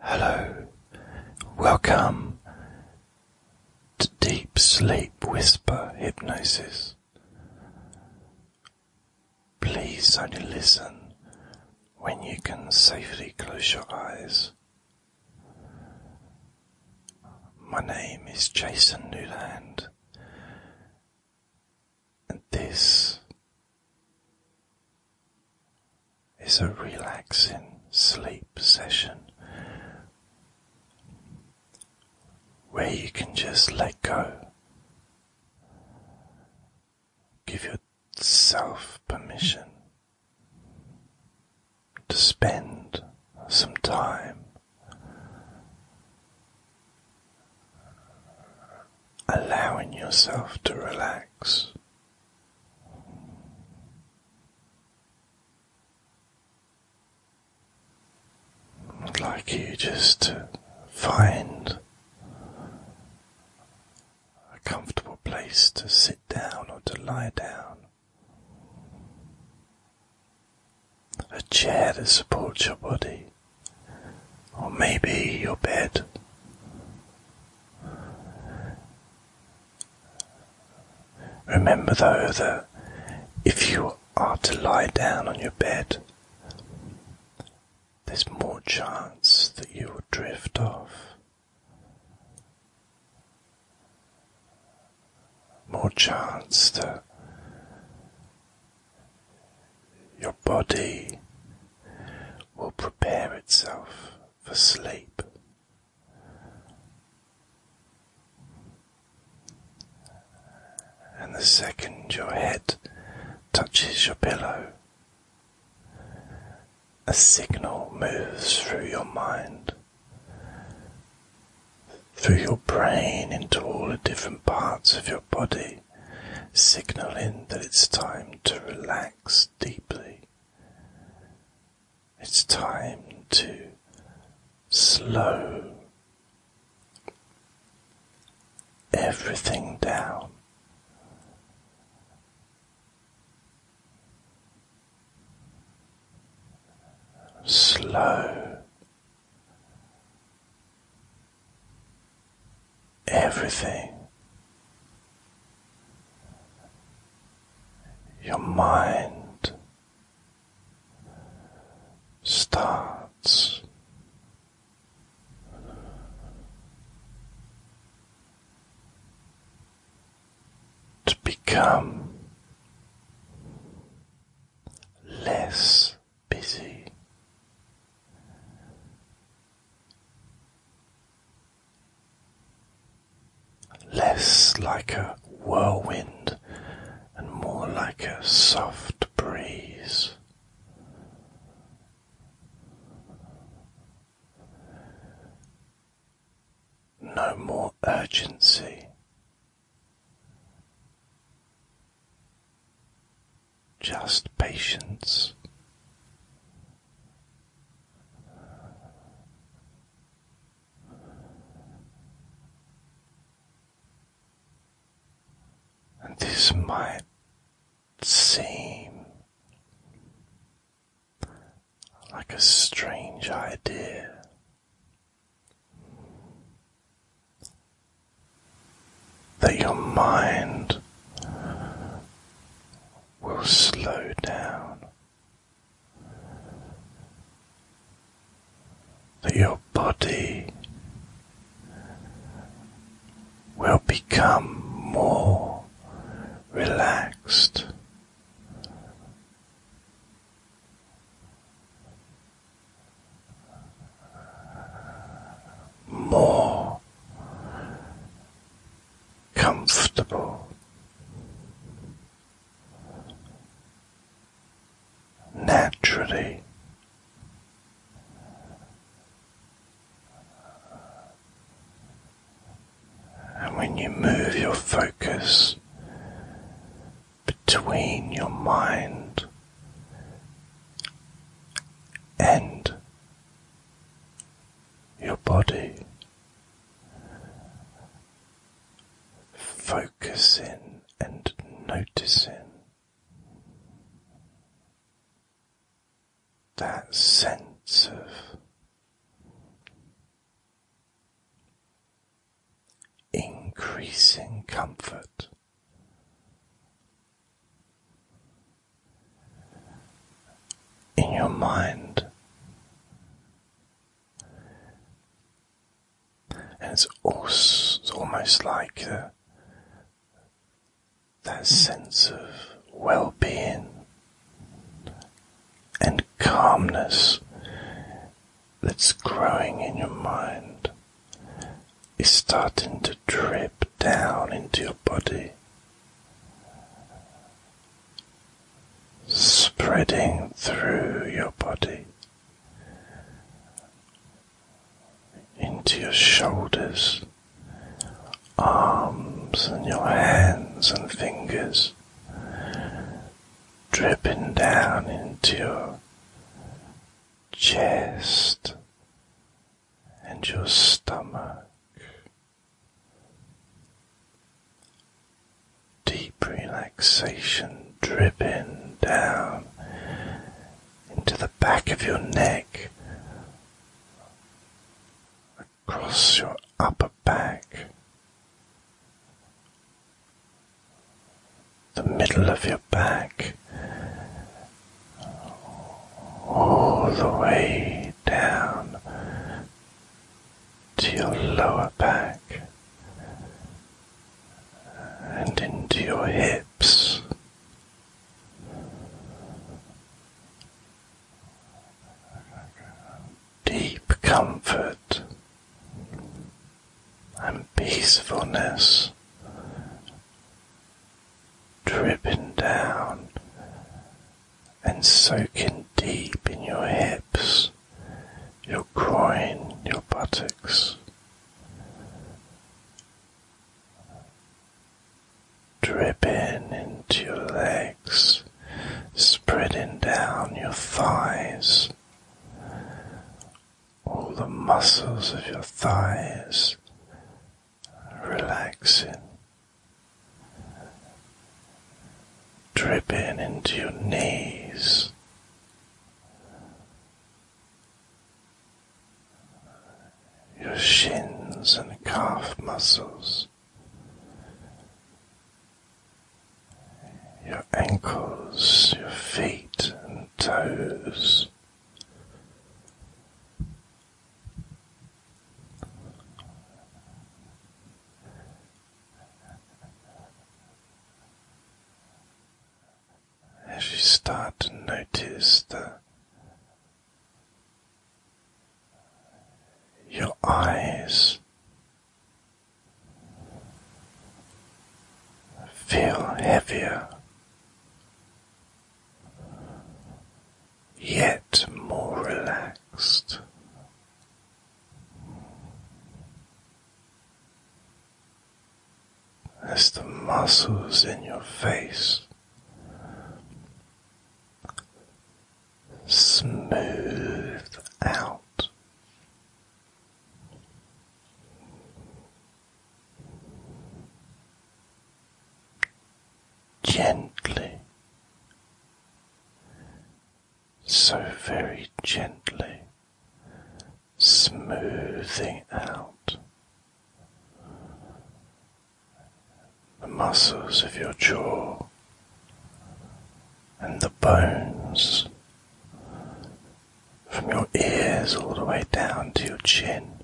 Hello, welcome to Deep Sleep Whisper Hypnosis. Please only listen when you can safely close your eyes. My name is Jason Newland, and this it's a relaxing sleep session where you can just let go. Give yourself permission to spend some time allowing yourself to relax. I'd like you just to find a comfortable place to sit down or to lie down, a chair to support your body, or maybe your bed. Remember, though, that if you are to lie down on your bed, there's more chance that you will drift off, more chance that your body will prepare itself for sleep. And the second your head touches your pillow, a signal moves through your mind, through your brain into all the different parts of your body, signaling that it's time to relax deeply. It's time to slow everything down. Slow everything your mind starts to become less busy less like a whirlwind and more like a soft breeze. No more urgency just patience. And this might seem like a strange idea. That your mind will slow down, that your body will become more relaxed. More comfortable. Naturally, and when you move your focus between your mind and your body, focusing and noticing that sense of increasing comfort in your mind. And it's, almost like that sense of well being and calmness that's growing in your mind is starting to drip down into your body, spreading through your body into your shoulders, arms, and your hands and fingers, dripping down into your chest and your stomach. Deep relaxation dripping down into the back of your neck, across your upper back, the middle of your back, all the way down to your lower back and into your hips. Deep comfort and peacefulness dripping down and soaking deep in your hips, your groin, your buttocks. Dripping into your legs, spreading down your thighs, all the muscles of your thighs relaxing, dripping into your knees. Your shins and calf muscles, your ankles, your feet and toes, as you start to notice that your eyes feel heavier yet more relaxed. As the muscles in your face smooth out, gently, so very gently smoothing out the muscles of your jaw and the bones from your ears all the way down to your chin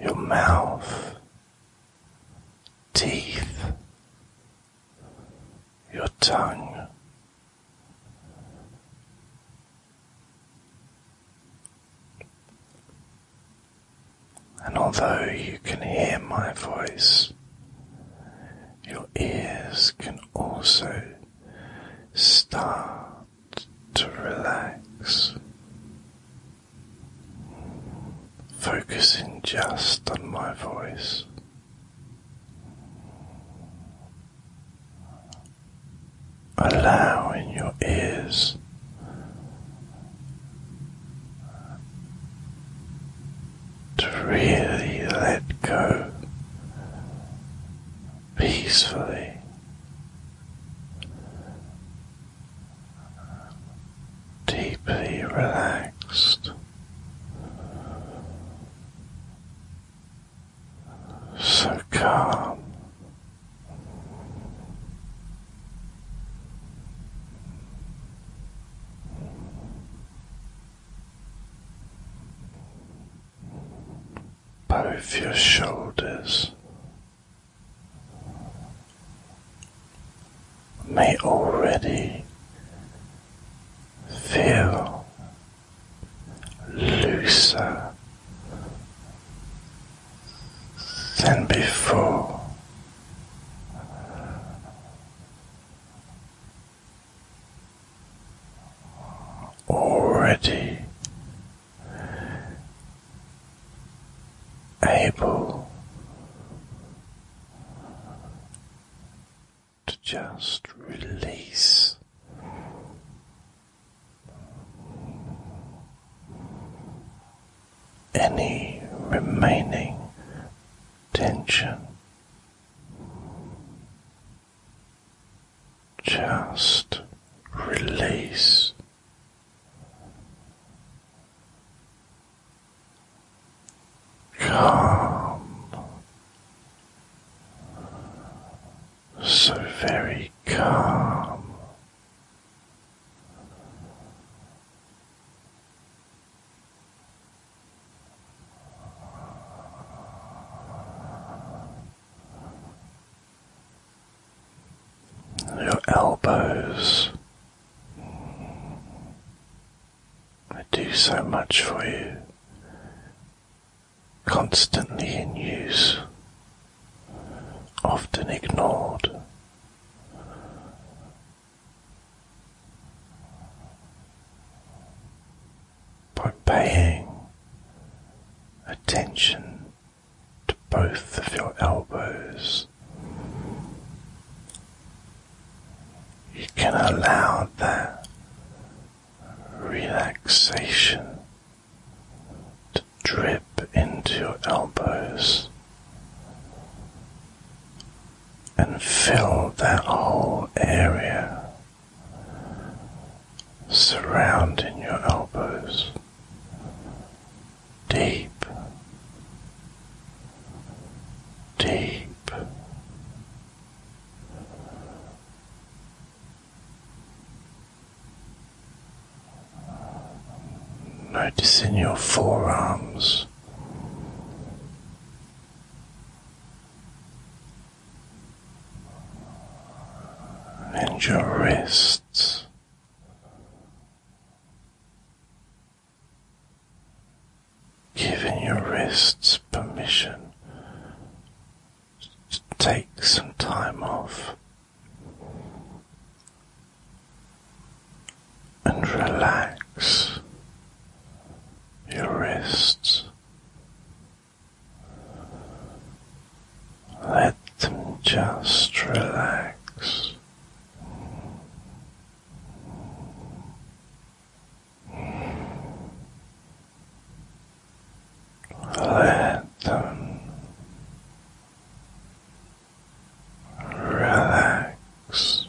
your mouth, teeth, your tongue. And although you can hear my voice, your ears can also start to relax, focusing just on my voice. Allowing your ears to really let go peacefully. Deeply relaxed, so calm, both your shoulders. May already feel looser than before already able to just release. Any remaining tension just release. Calm, so very calm, your elbows. They do so much for you, constantly in use, often ignored by paying attention to both of your elbows. You can allow that relaxation to drip into your elbows and fill that whole area surrounding your elbows, deep, deep. Noticing your forearms and your wrists. Giving your wrists permission to take some time off and relax your wrists let them just relax. Let them relax.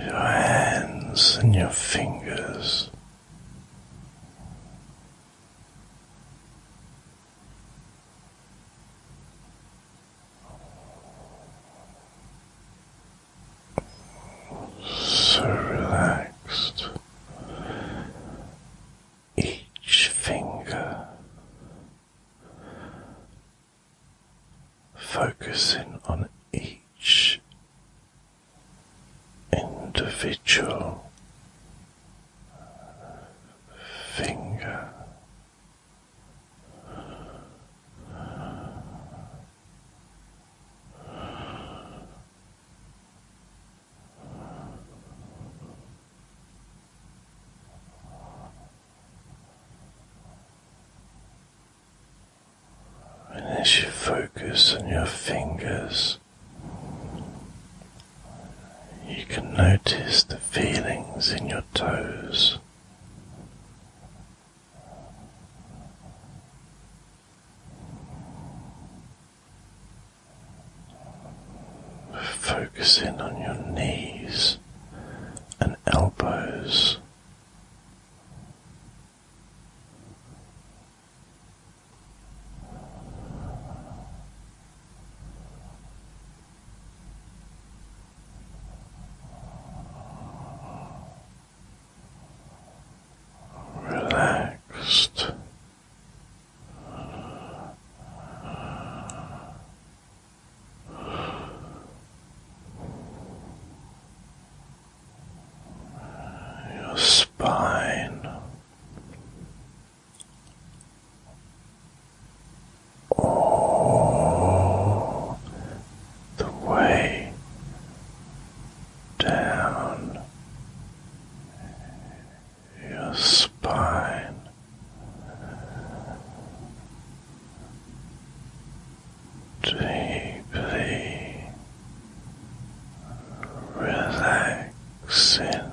Your hands and your fingers so relaxed. Each finger focusing on each individual finger. And as you focus on your fingers, you can notice the feelings in your toes. Focus in on your knees and elbows relaxed. Your spine all the way down your spine. Deeply relaxing,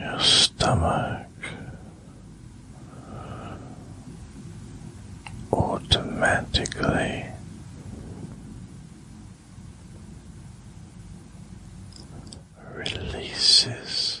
your stomach automatically releases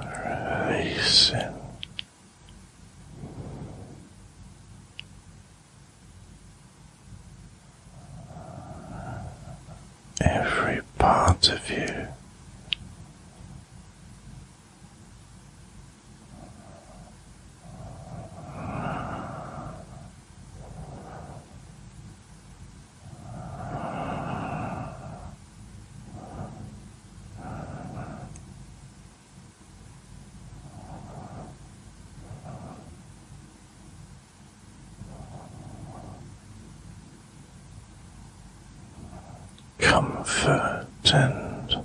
Releasing every part of you comfort and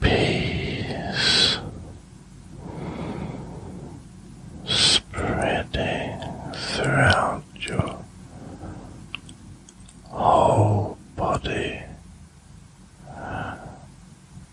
Peace spreading throughout your whole body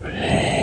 Please. Relax.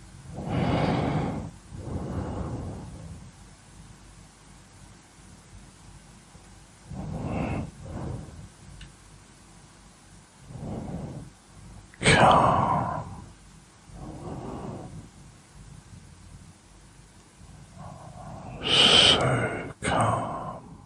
Calm. So calm.